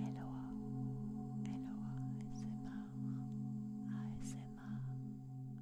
Hello, hello, ASMR, ASMR,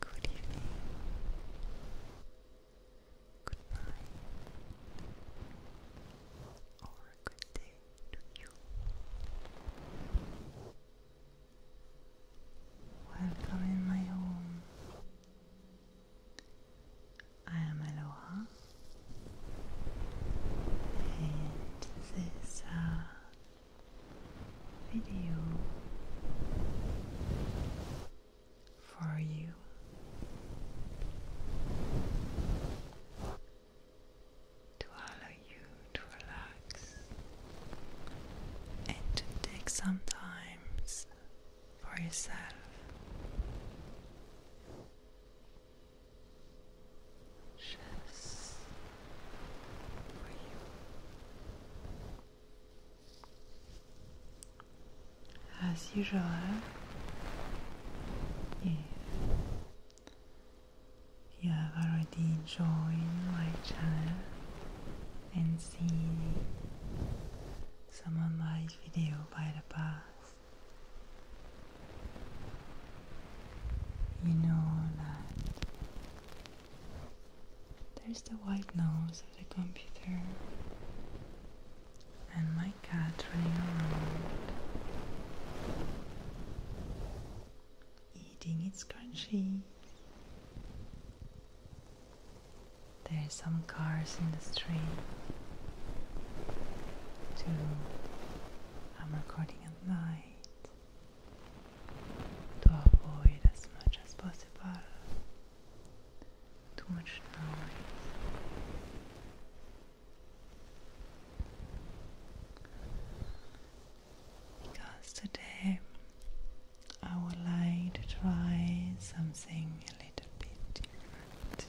Good evening. Good Or a good day to you. Welcome in my home. I am Aloha, and this uh, video for you to allow you to relax and to take some times for yourself. Just for As usual, if you have already joined my channel and seen some of my videos by the past, you know that there's the white noise of the computer and my cat running around eating its crunchy. There are some cars in the street. I'm recording at night to avoid as much as possible too much noise because today I would like to try something a little bit different.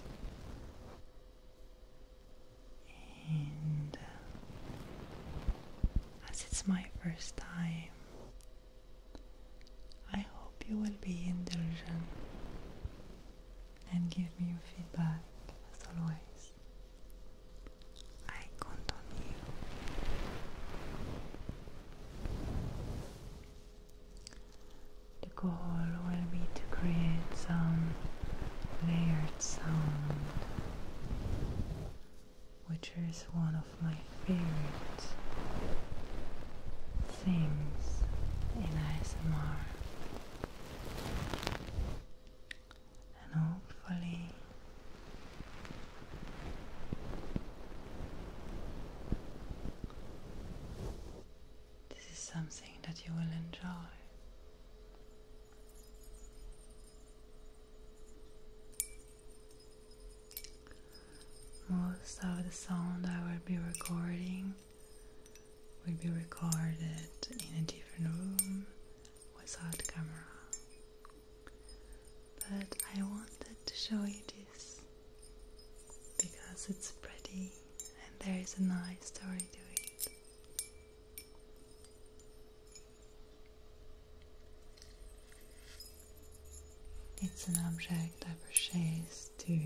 And uh, as it's my first time, I hope you will be indulgent and give me your feedback as always. I count The goal will be to create some layered sound, which is one of my favorite things in ASMR and hopefully this is something that you will enjoy. Most of the sound I will be recording will be recorded in a different room without camera. But I wanted to show you this because it's pretty and there is a nice story to it. It's an object I purchased to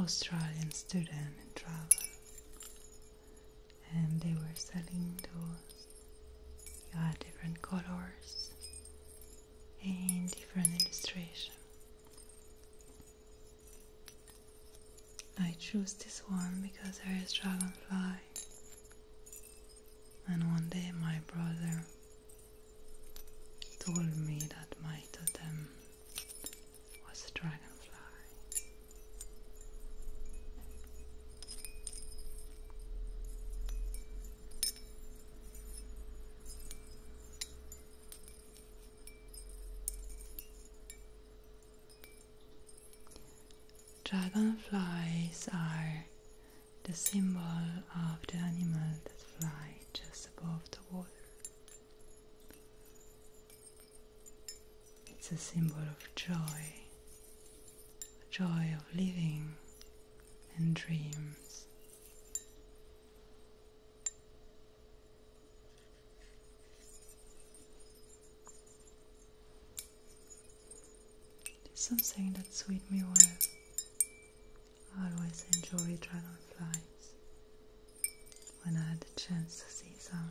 Australian student in travel and they were selling those. You had different colors and different illustration. I chose this one because there is dragonfly. And one day my brother told me that my totem was dragonfly. Dragonflies are the symbol of the animal that fly just above the water. It's a symbol of joy joy of living and dreams. It's something that suits me well. I always enjoy dragonflies when I had the chance to see some.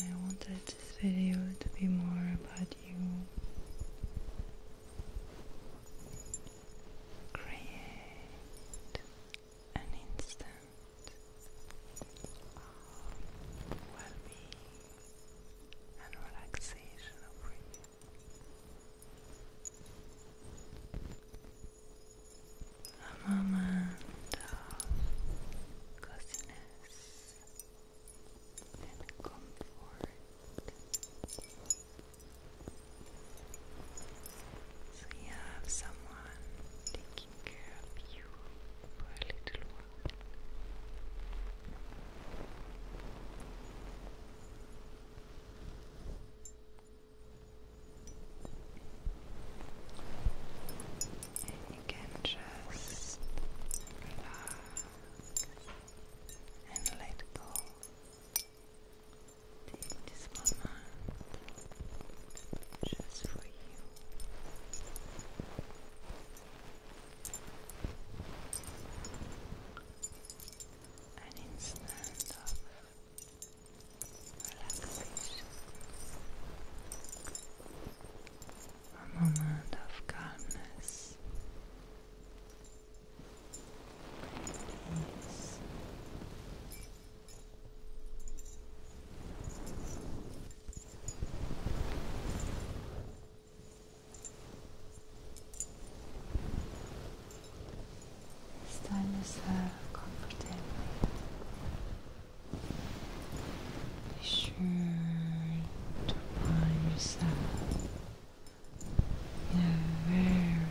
I wanted this video to be more about you create an instant of well and relaxation for you. A moment of coziness and comfort. So you have someone taking care of you for a little while and you can just relax and let go. this moment just for you. An instant of relaxation a moment of calmness, peace. Stand yourself uh, comfortably be sure to find yourself in a very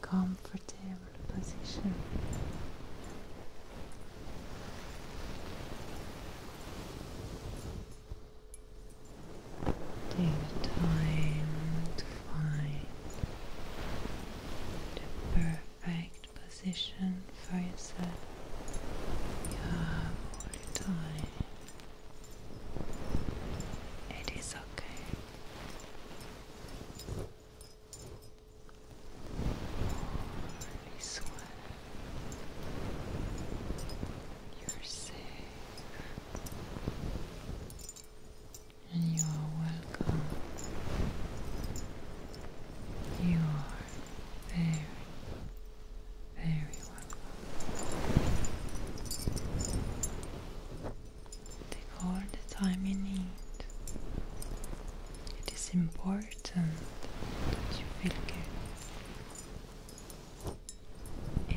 comfortable position. Take the time to find the perfect position for yourself you have all the time. It is okay. You're safe. you are welcome you are very, very welcome. Take all the time you need. It is important that you feel good.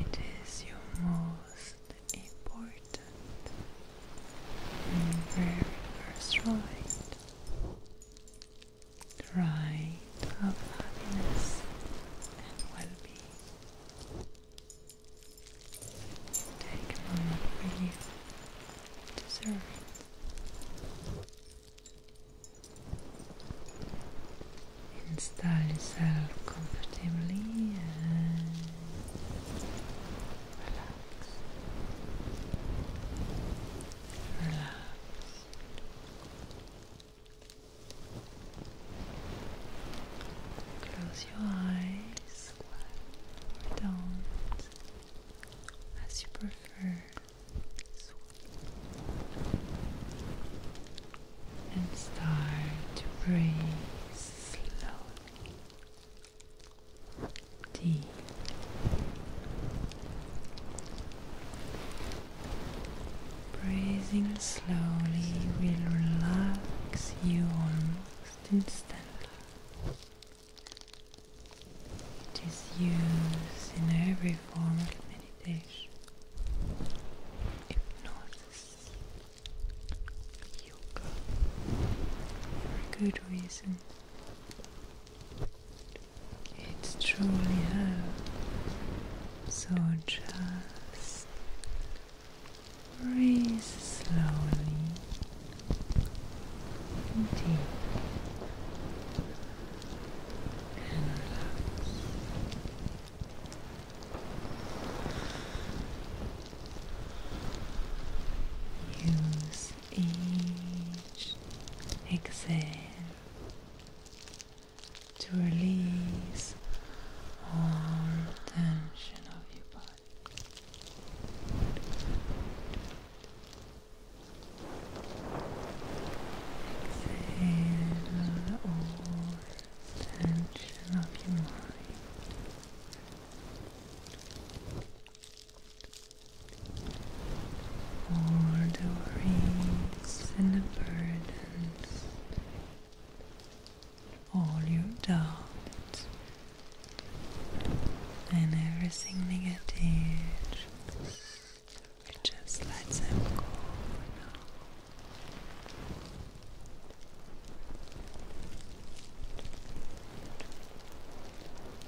It is your most important and very first right the right of happiness and well-being. Take moment for you to Install yourself comfortably and relax. Relax. Close your eyes or don't, as you prefer, and start to breathe slowly, deep. Breathing slowly will relax you almost instantly. It is used in every form of meditation. Hypnosis, yoga, for good reason. It's truly her. So just breathe slowly and deep and relax. Use each exhale to release all tension of your body. Exhale all tension of your mind all the worries and the burdens, all your doubts, and everything negative. Just let them go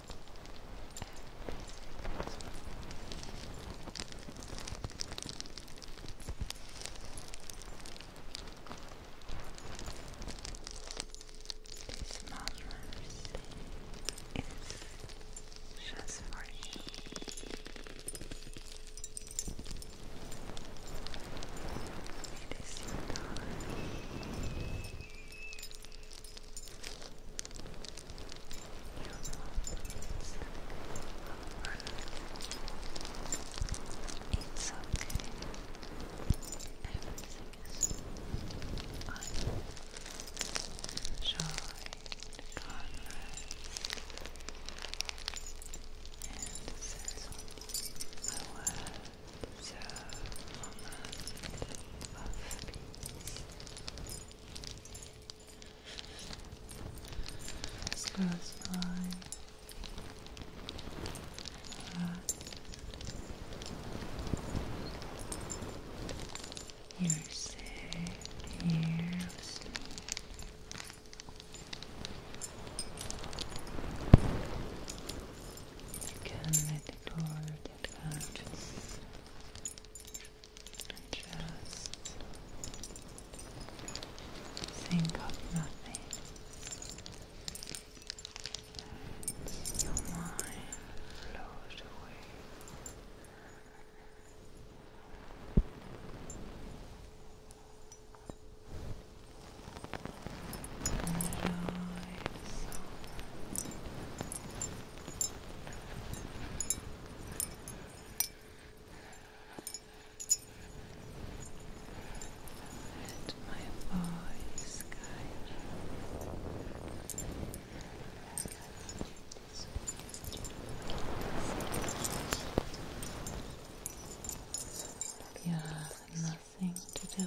This Mother's is just for you. It is your it's okay. Everything is fine. Enjoy the And this is all so moment of peace. This by you're safe here for that conscious just think of nothing and your mind flows away Enjoy let my voice guide you. You have nothing to do.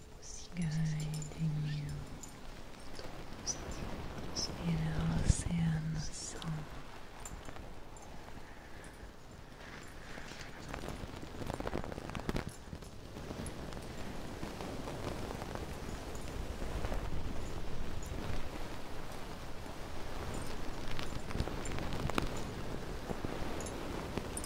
guiding you in the ocean song.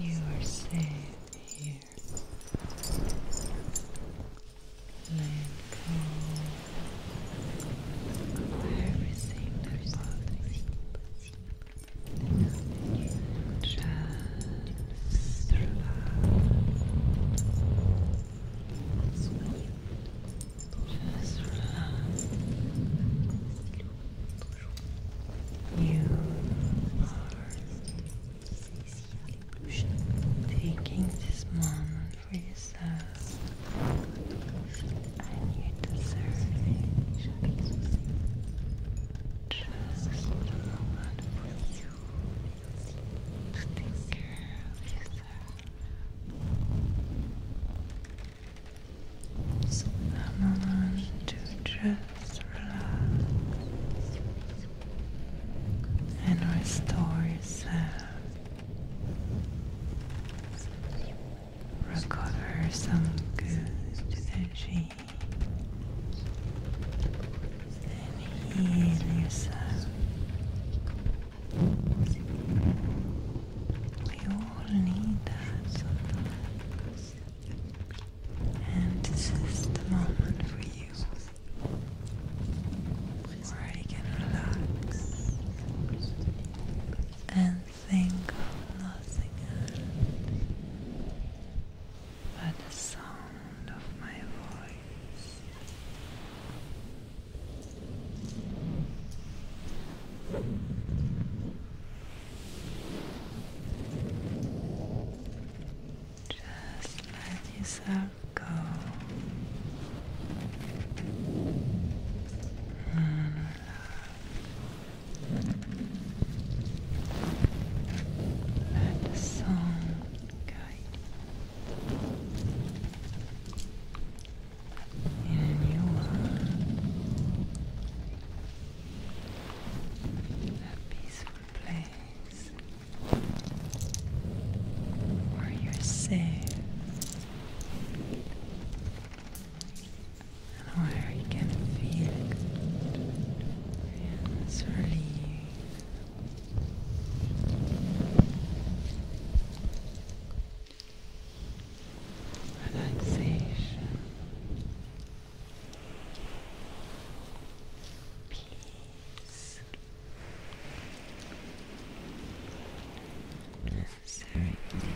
You are safe here. Let everything that bothers Just relax. Just relax. You are taking this moment for yourself, and you deserve it. Just a moment take care of so come on to just relax and restore yourself. Recover some good energy and heal yourself. We all need that sometimes. And this is the moment for you where you can relax and think of nothing but the sound of my voice. Just let yourself go. let the song guide you in a new world a peaceful place where you're safe and where you can feel it's relieving. Relaxation Peace. Sorry. Peace.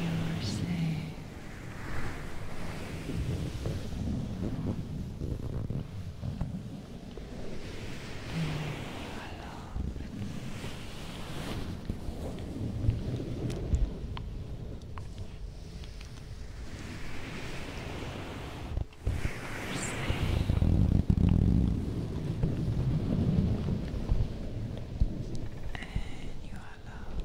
You are safe. You are You and you are loved.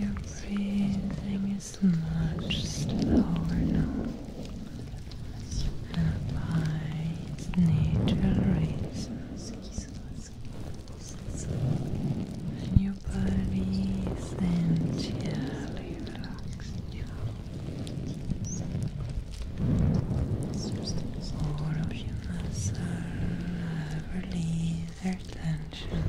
Everything breathing is much slower now. And by its natural Bodies body essentially relaxed now. All of tension.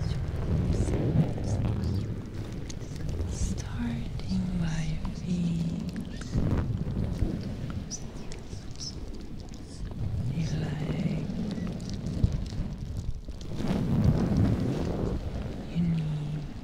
Starting by feet. legs, knees,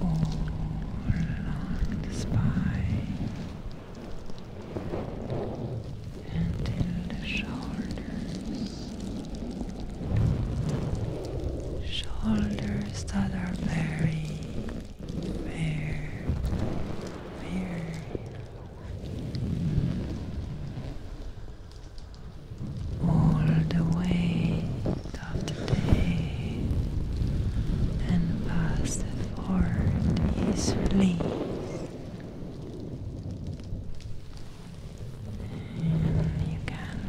all along the spine until the shoulders, shoulders that are very, very, very all the way of the day and passed forward easily. And you can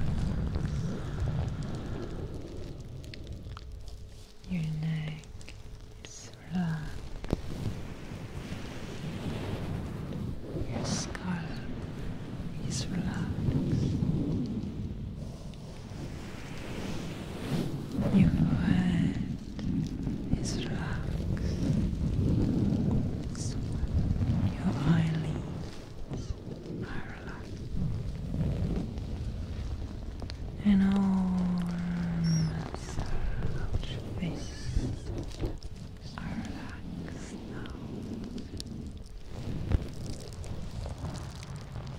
your neck is flat, your scalp is relaxed. Your head is relaxed. Your eyelids are relaxed. And all massage face are relaxed now.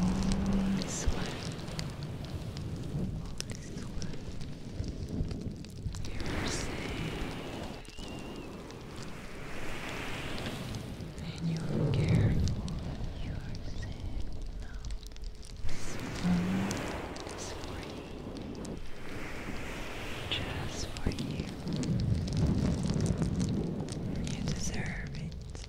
Holy sweat. Holy sweat. You're safe. And you're careful. You're safe This one, is for Just for you. You deserve it.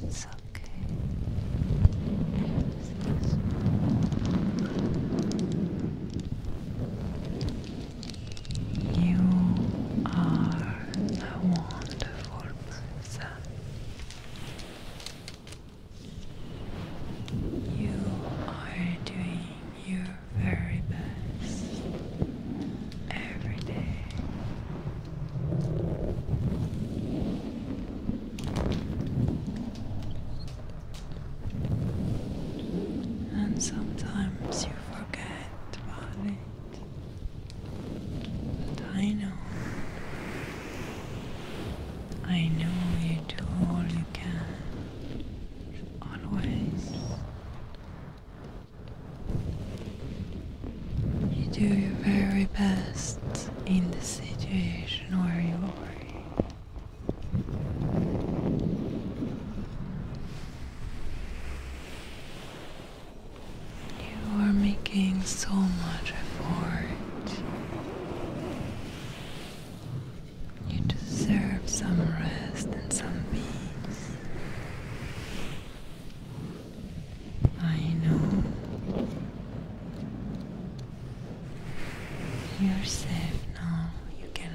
It's okay. you are a wonderful person. You are doing your very best every day. And sometimes you forget about it. I know, I know you do all you can, always. You do your very best in the situation where you are. You are making so much effort. You deserve some rest and some peace. I know. You're safe now. You can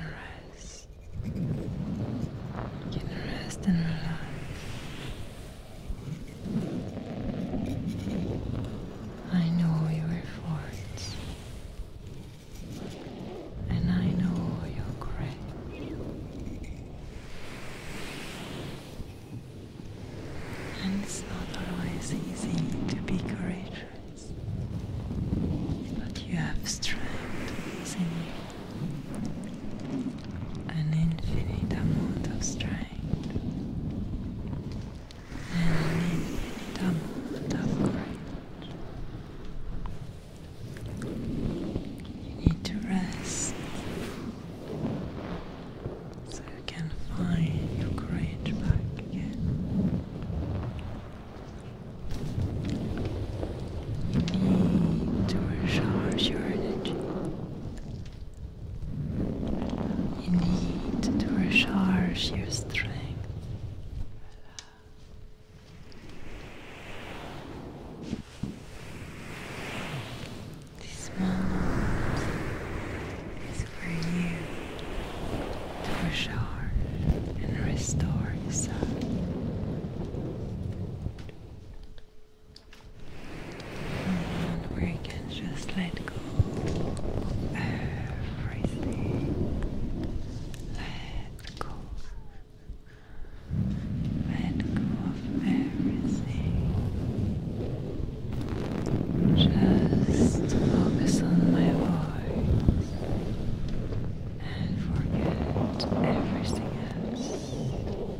rest. You can rest and relax. I know your efforts, and I know your grit. And it's not always easy to be courageous, but you have strength in you an infinite amount of strength, an infinite amount of courage. You need to rest so you can find your courage back again. You need to recharge you need to recharge your strength. This moment is for you to recharge and restore yourself we can just let go of everything. Let go. Let go of everything. Just focus on my voice and forget everything else.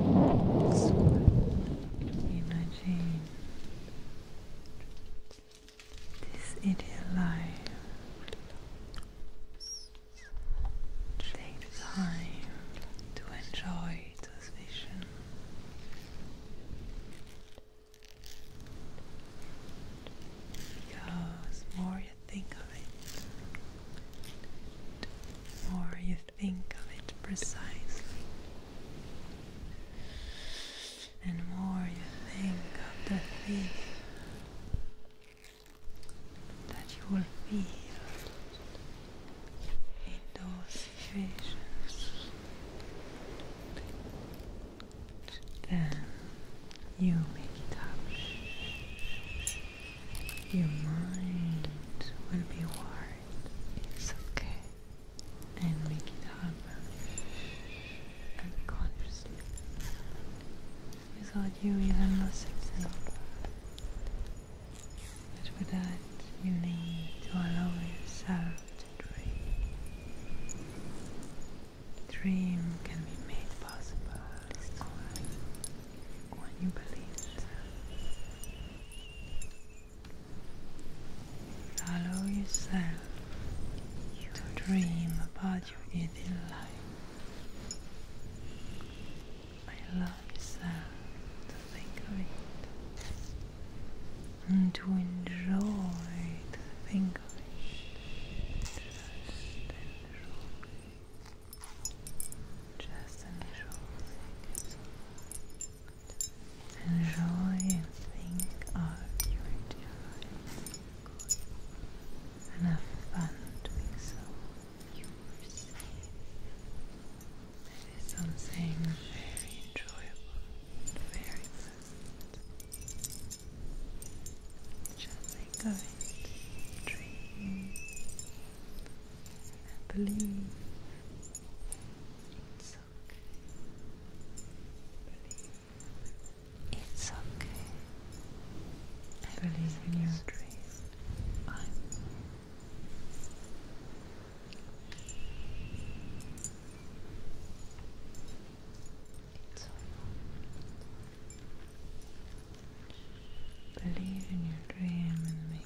Imagine this ideal life. Take the time to enjoy this vision. Because more you think of it, the more you think of it precisely. And more you think of the thing that you will feel in those situations, then you make it up. Your mind will be worried. It's okay. And make it happen unconsciously without you even noticing. But for that, you need to allow yourself to dream. Dream can be made possible when you believe Allow yourself to dream about your ideal life. Allow yourself to think of it and to enjoy to think it. Just enjoy. Enjoy and think of your dear and have fun so. You were something very enjoyable, very pleasant. Just think of it. Dream. I believe it's okay. Believe it's okay. believe in your dream. I'm it's okay. Believe in your dream and make it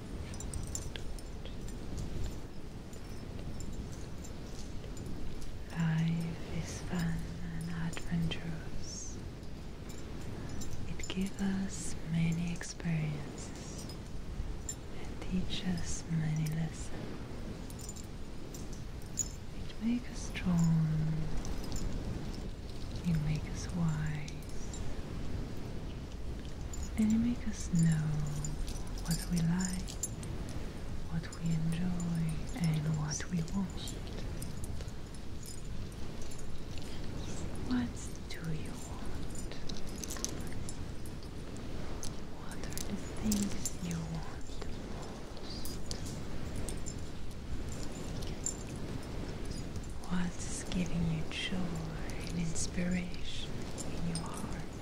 Life is fun and adventures. It gives us many experiences and teaches many lessons. It makes us strong. It makes us wise. And it makes us know what we like, what we enjoy, and what we want. What do you want? What are the things you want What's giving you joy and inspiration in your heart?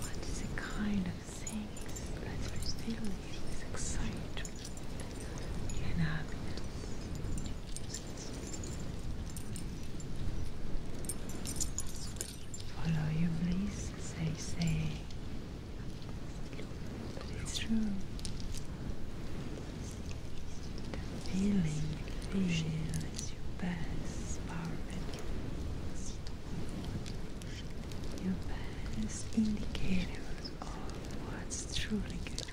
What is the kind of things that fill you with excitement and Follow your bliss, they say. But it's true. The feeling is your best barometer. Your best indicator of what's truly good.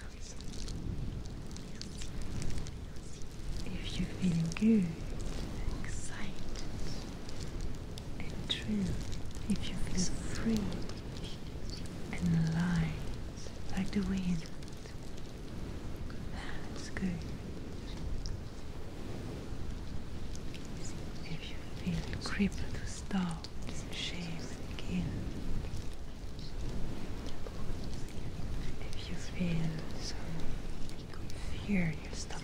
If you feel good, excited, and true, if you feel free and light like the wind. That's good. If you feel crippled, stop, shave again. If you feel some fear in your stomach,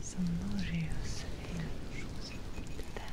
some nauseous feeling, that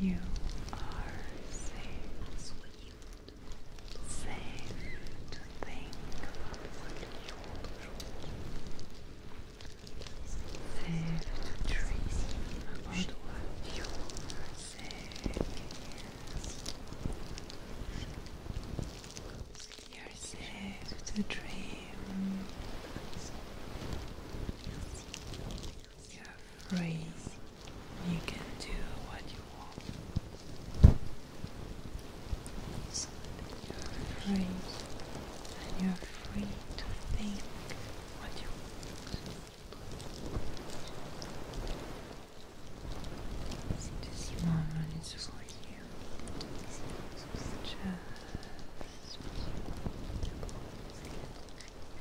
You are safe. Safe to think. Safe to dream about what you are You're safe to dream. You're free. You can do what you want. You're free. And you're free to think what you want. This moment is for you. Just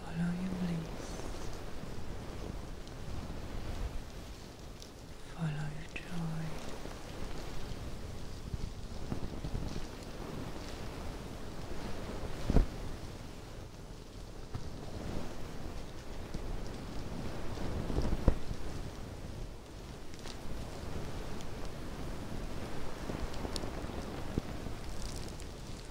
Follow your bliss. Follow your joy.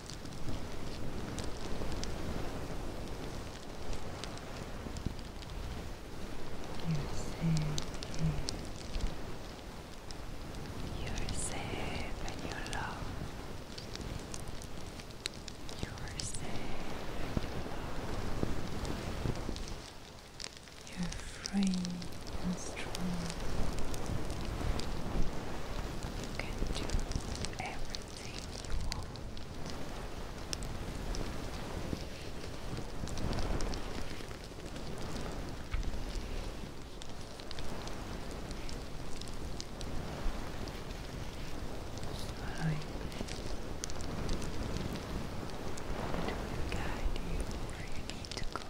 You're safe You're safe and you're loved. You're safe and you're loved. You're free and strong. You can do everything you I will guide you where you need to go.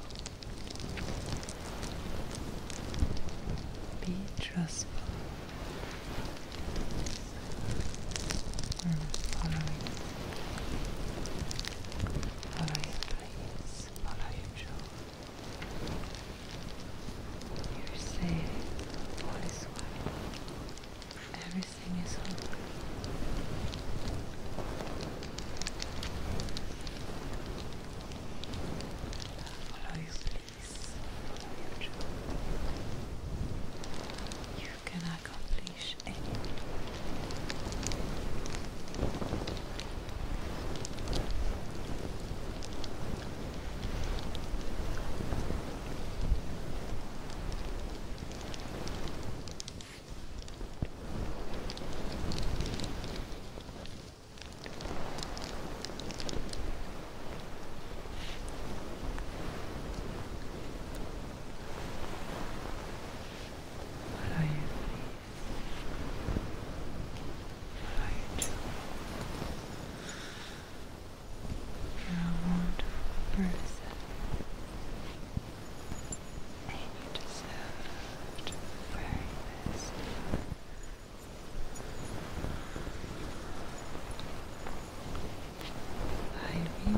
Be trustful. follow mm, it. Follow your dreams. Follow your joy. You're safe. All is Everything is over follow you please, follow your You can accomplish anything. What are you? What are you doing? You're a wonderful person, and you to be very best. By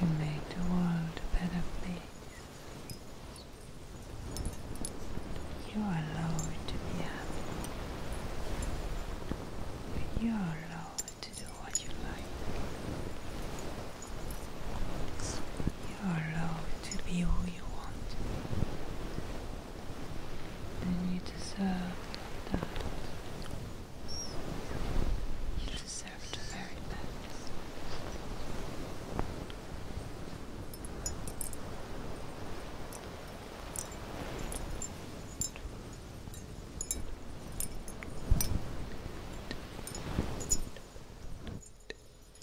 you make the world a better place. You are allowed to be happy. You are allowed to do what you like. You are allowed to be who you want, and you deserve that. You deserve the very best.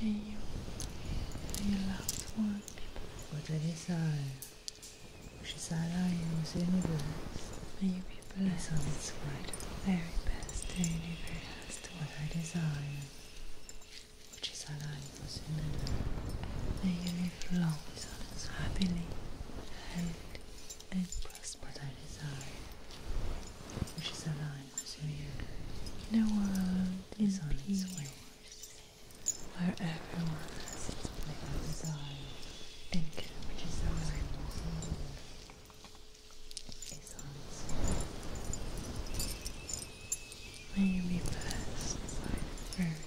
May you and your loved ones be blessed. What a desire, which is Allah in this universe. May you be blessed on Very best the universe has What a desire, which is Allah in this universe. May you flows on us happily and, and grasp what I desire, which is aligned with your universe. The world is on its way, where everyone has its place of desire and which is aligned with your is on its way. May you be blessed by very best.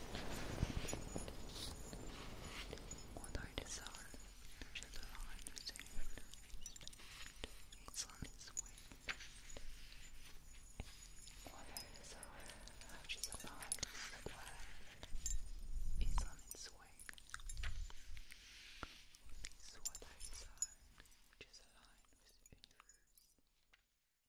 What I desire, should I receive? Sun is wind. What I desire, should I receive? Is on its way. what I desire, which is aligned with the